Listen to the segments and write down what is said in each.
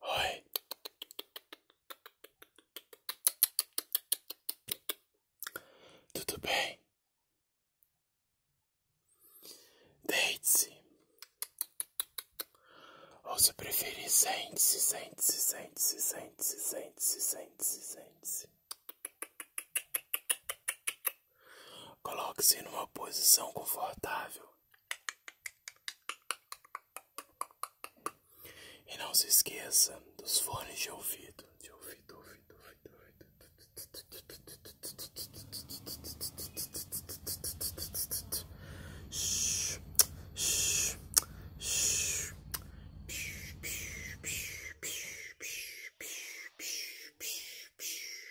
Oi. Tudo bem? Deite-se. Ou se preferir, sente-se, sente-se, sente-se, sente-se, sente-se, sente-se, sente-se. Coloque-se numa posição confortável. E não se esqueça dos fones de ouvido. De ouvido, ouvido, ouvido, ouvido.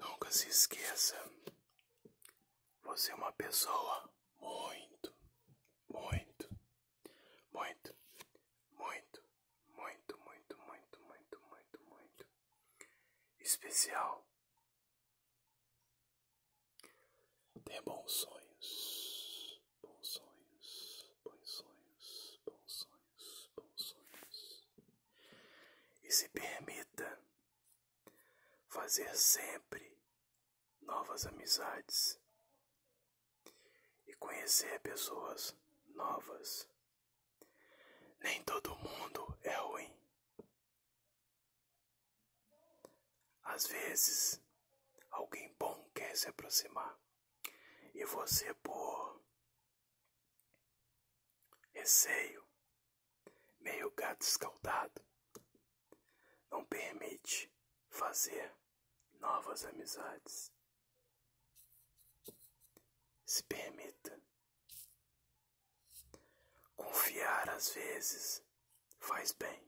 Nunca se esqueça, você é uma pessoa muito, muito muito, muito, muito, muito, muito, muito, muito, muito especial. tenha bons sonhos, bons sonhos, bons sonhos, bons sonhos, bons sonhos. E se permita fazer sempre novas amizades e conhecer pessoas novas. Nem todo mundo é ruim. Às vezes, alguém bom quer se aproximar e você, por receio, meio gato escaldado, não permite fazer novas amizades. Se permita. Confiar às vezes faz bem.